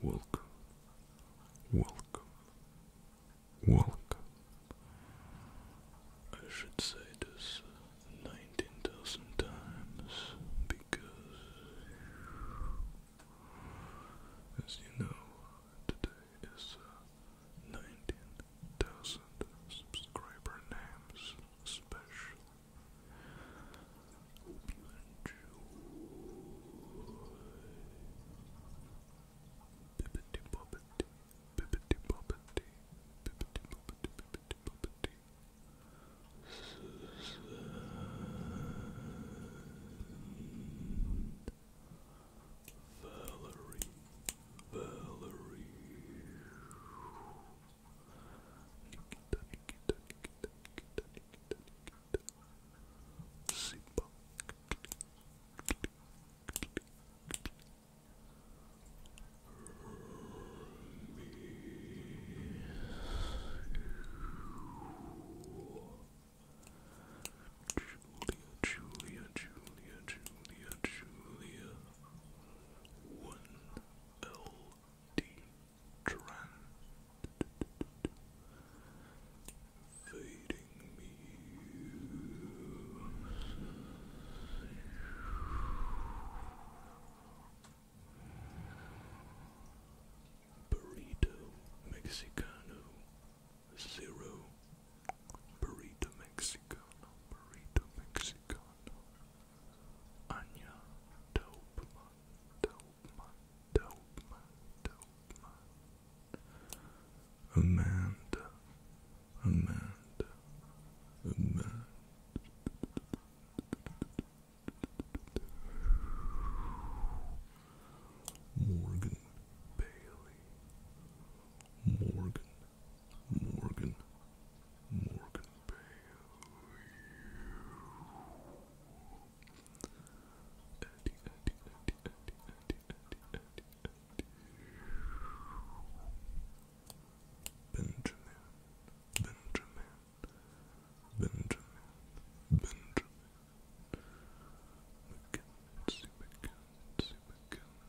Welcome, welcome, welcome. I should say this 19,000 times because, as you know, today is uh, 19,000 subscriber names special. Hope you enjoy. Bibbity bobbity, bibbity bobbity, bibbity bobbity, bibbity bobbity. Valerie. Valerie. Nikita, Nikita, Julia, Julia, Julia, Julia, Julia one L D Trend Fading me Burrito Mexicano Zero burrito mexicano, burrito mexicano, Anya, dope dope dope dope Amanda, Amanda, Amanda. Morgan Bailey, Morgan, Morgan, Morgan Bale. Eddie, Eddie, Eddie, Eddie, Eddie, Eddie, Eddie, Benjamin, Benjamin, Benjamin, Benjamin. McKenzie, McKenzie, McKenzie.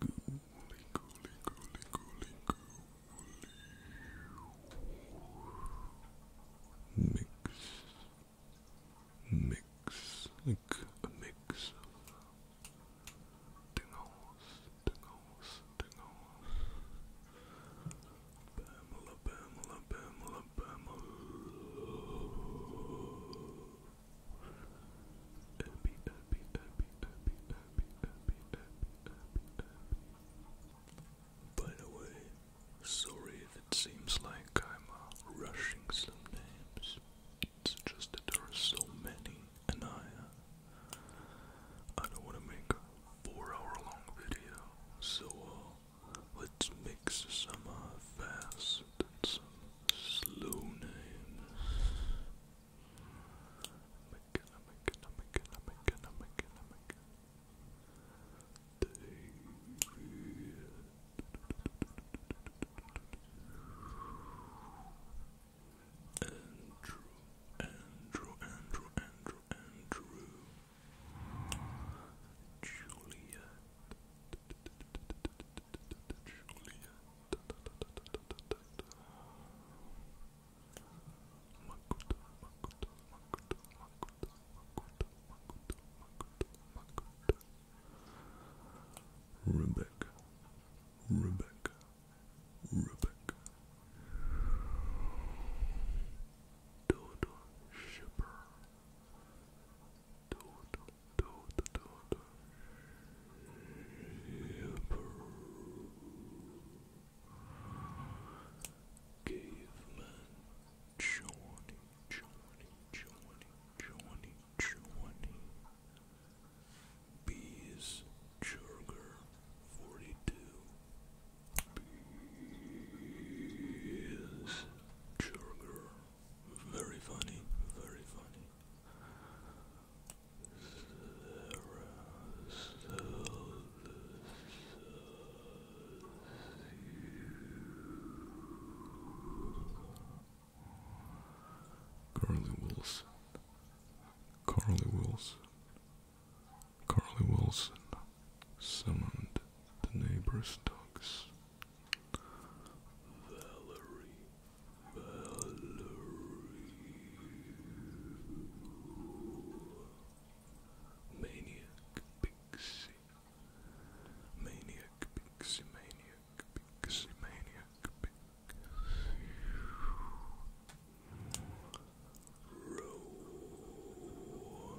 Gooly, gooly, gooly, gooly, gooly. Mix. Mix. Like mix of tingles, tingles, Pamela, Pamela, Pamela, Pamela. Irby, sorry if it seems like I'm uh, rushing some names. It's just that there are so many, and I, uh, I don't want to make a four-hour-long video, so uh, let's mix some uh, fast and some slow names. Andrew, Andrew, Andrew, Andrew, Juliet. Rebecca, Rebecca, Rebecca, Dodo Shipper, Caveman Johnny, Johnny, Johnny, Johnny, Johnny. Bees Jurger 42. Bees Jurger. Very funny, very funny. Carly Wilson. Carly Wilson. Carly Wilson summoned the neighbor's dogs. Valerie Valerie. Maniac Pixie. Maniac Pixie, Maniac Pixie, Maniac Pixie. Rowan.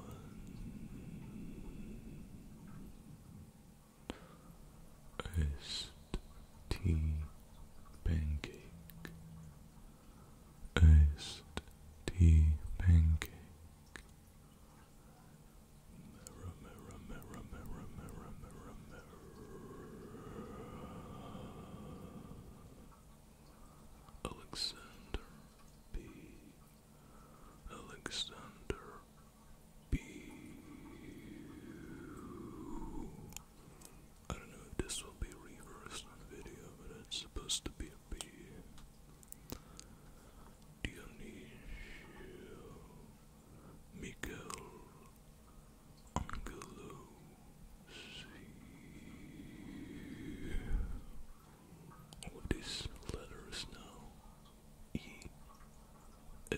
S tea pancake, iced tea pancake. Alexander B. Alexander B. I don't know if this will be reversed on video, but it's supposed to be a B. Dionisio Miguel Angelo these letters now E A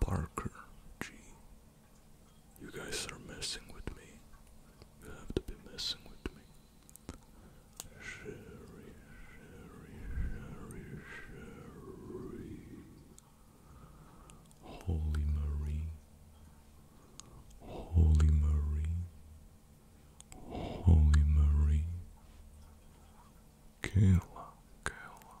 Parker G. You guys are messing with me. You have to be messing with me. Sherry, Sherry, Sherry, Sherry. Holy Marie. Holy Marie. Holy Marie. Kayla, Kayla,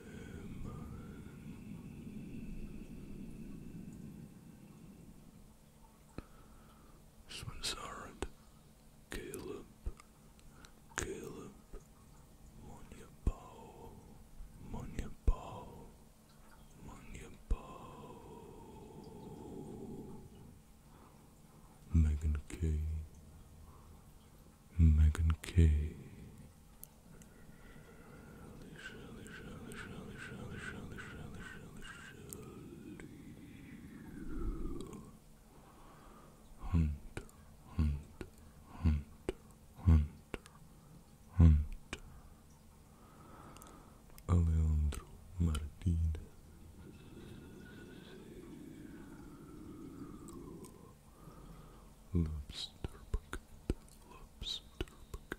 This Caleb, Caleb, Monya Bow, Monya Bow, Monya Bow. Megan K. Megan K. Hunt, hunt, hunt, hunt, hunt. Alejandro Martinez. Lobster bucket, lobster bucket,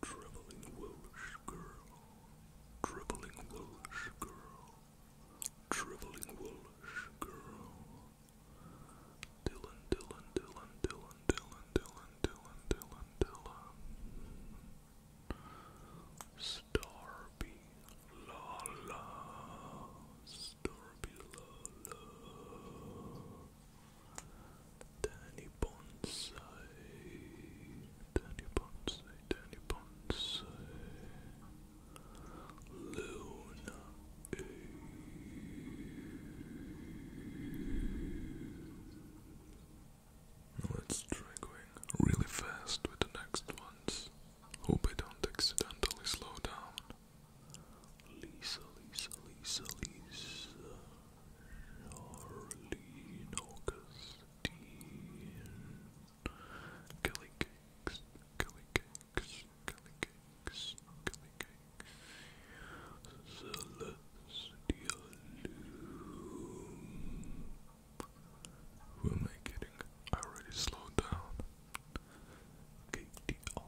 dribbling woolish girl, dribbling Welsh girl, dribbling Welsh girl. Dylan, Dylan, Dylan, Dylan, Dylan, Dylan, Dylan, Dylan, Dylan. Starby, la Starby, la Danny Bonsai, Danny Bonsai, Danny Bonsai, Luna Let's try going really fast with the next ones. Hope I don't accidentally slow down. Lisa, Lisa, Lisa, Lisa. Charlene August fifteen. Kelly cakes, Kelly cakes, Kelly cakes, Kelly cakes. Celestial Who am I kidding? I already slowed down. KTR,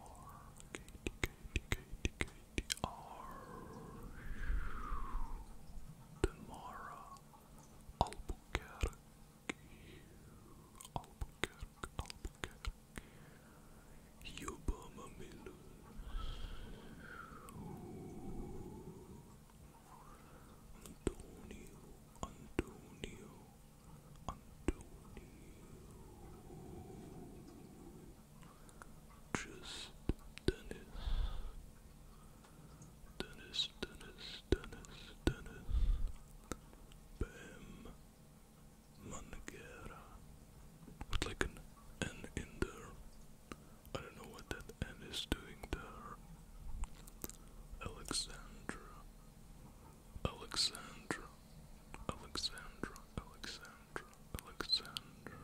Demara Albuquerque, Albuquerque, Albuquerque, Yuba Antonio, Antonio, Antonio, just Dennis. Dennis, Dennis, Dennis, Dennis, Bam, Manguera, with like an N in there. I don't know what that N is doing there. Alexandra, Alexandra, Alexandra, Alexandra, Alexandra.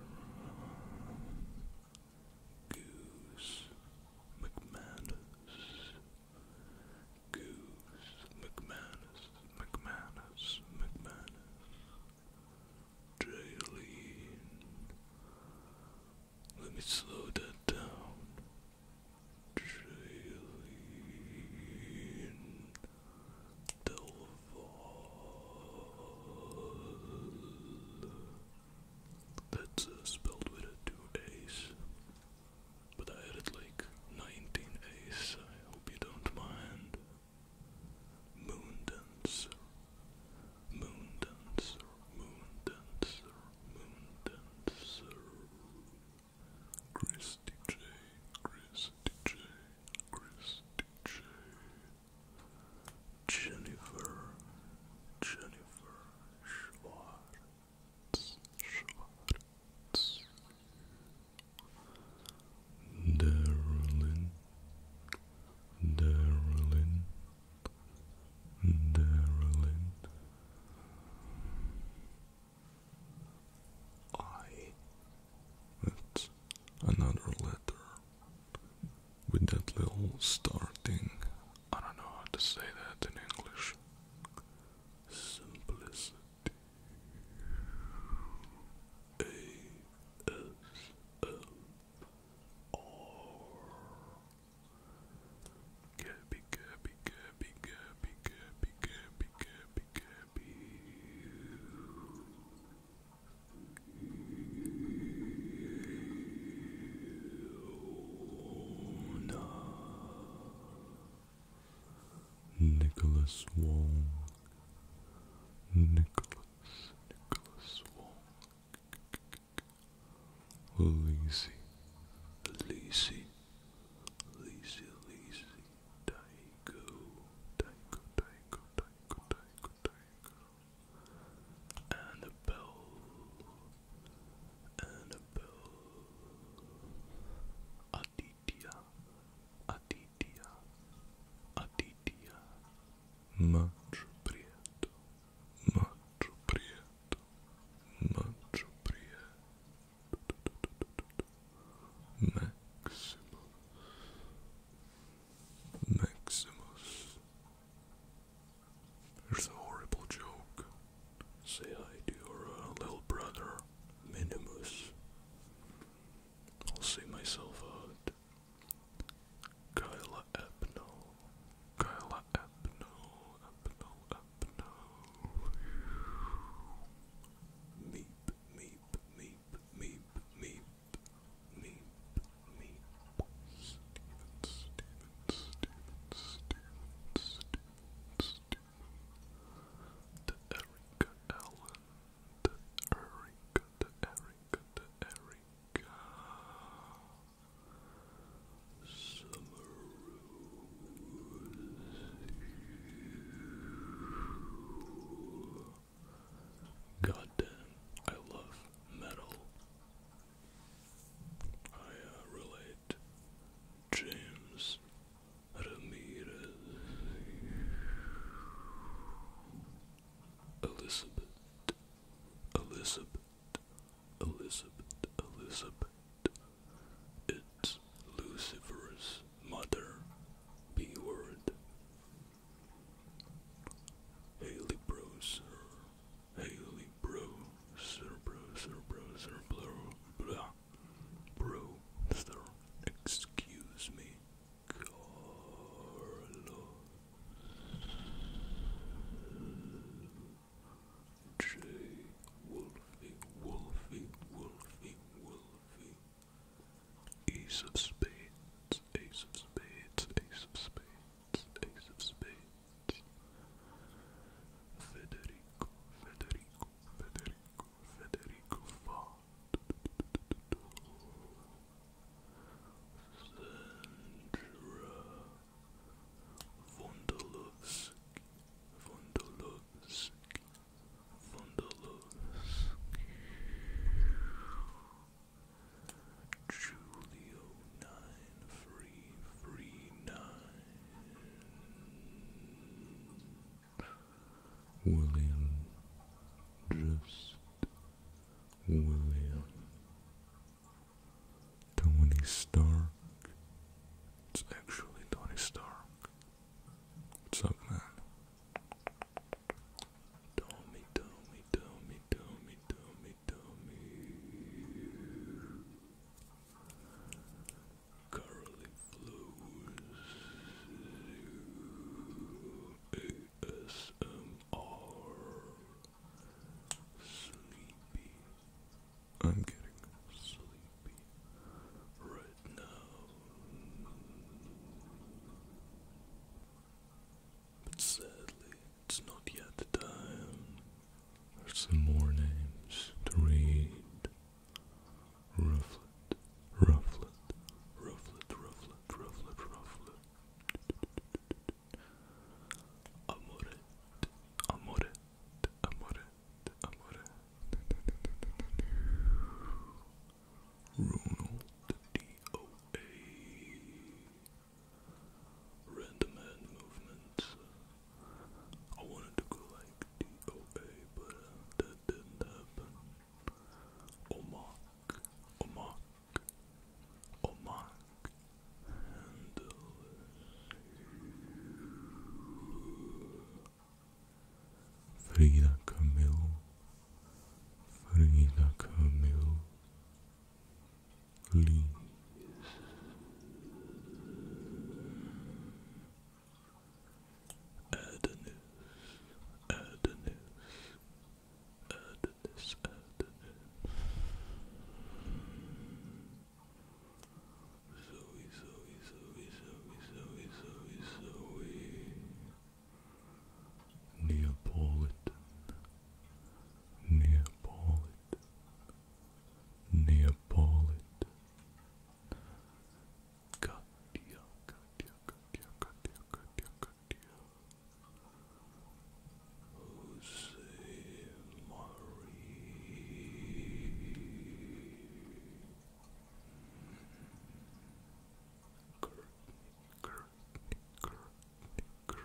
Goose McManus, Goose McManus, McManus, McManus, Jaylene. Let me slow that down. Jaylene Delval. That's uh, spelled with a two A's. But I added like 19 A's, I hope you don't mind. Moon Dancer. Moon Dancer. Moon Dancer. Moon Dancer. Christy J. Christy J. Christy J. Jennifer, Jennifer Schwartz, Schwartz, Darylin, Darylin, I. That's another letter with that little star thing. I don't know how to say that in English. Simplicity. A S M R. Gabby, Gabby, Gabby, Gabby, Gabby, Gabby, Gabby, Gabby. Nicholas Wong, Nicholas, Nicholas Wong, Lacey, Lacey, Lacey, Lacey, Daigo, Daigo, Daigo, Daigo, Daigo, go. And Aditya. Aditya. Aditya. Much prieto. Much prieto. Much prieto. Maximus. Maximus. Here's a horrible joke. Say hi to your uh, little brother, Minimus. I'll see myself out. Kyla Epno. Kyla Epno. Epno, Epno. Meep, meep, meep, meep, meep, meep, me. Steven, Steven, Steven, Steven, Steven, Steven. The Erica Allen. The Erica, the Erica, the Erica. Summer Rose. God damn, I love metal. I uh, relate James Ramirez, Elizabeth, Elizabeth, Elizabeth, Elizabeth. It's Lucifer's mother, B word. Haley Broser, Haley bro, sir bro, sir bro, sir bro, blah, bro, sir, excuse me, Carlos, J, Wolfie, Wolfie, Wolfie, Wolfie, Ace of Spades, Ace of Spades, Ace of Spades, Ace of Spades. Federico, Federico, Federico, Federico Sandra Vondolovsky, Vondolovsky, Julio nine three three nine William just William Tony Stark It's actually Tony Stark What's up man Tommy Tommy Tommy Tommy Tommy tummy currently flows ASMR sleepy. I'm getting sleepy right now but sadly it's not yet the time. There's some more names to read. Rufflet, rufflet, rufflet, rufflet, rufflet, rufflet. Amoret, amoret, amoret, amoret. Ronald D O A random hand movements. I wanted to go like DOA, but uh, that didn't happen. Omak, Omak, Omak, uh, Frida Camille, Frida Camille leaves. Adonis, Adonis, Adonis, Adonis. Zoe, Zoe, Zoe, Zoe, Zoe, Zoe, Zoe. Neapolitan, Neapolitan, Neapolitan. Katia, Katia, Katia, Katia, Katia, Katia. Jose Marie. Curtain, curtain, curtain, curtain.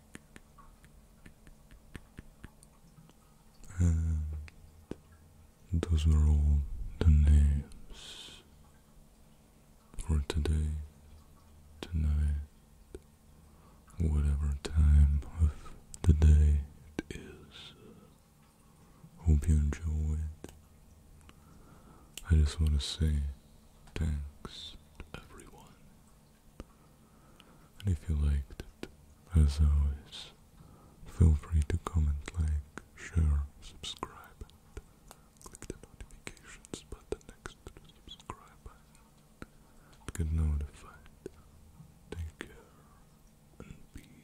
those were all the names for today, tonight, whatever time of the day it is. Hope you enjoyed. I just want to say thanks to everyone and if you liked it, as always, feel free to comment, like, share, subscribe, and click the notifications button next to the subscribe button get notified. Take care and peace.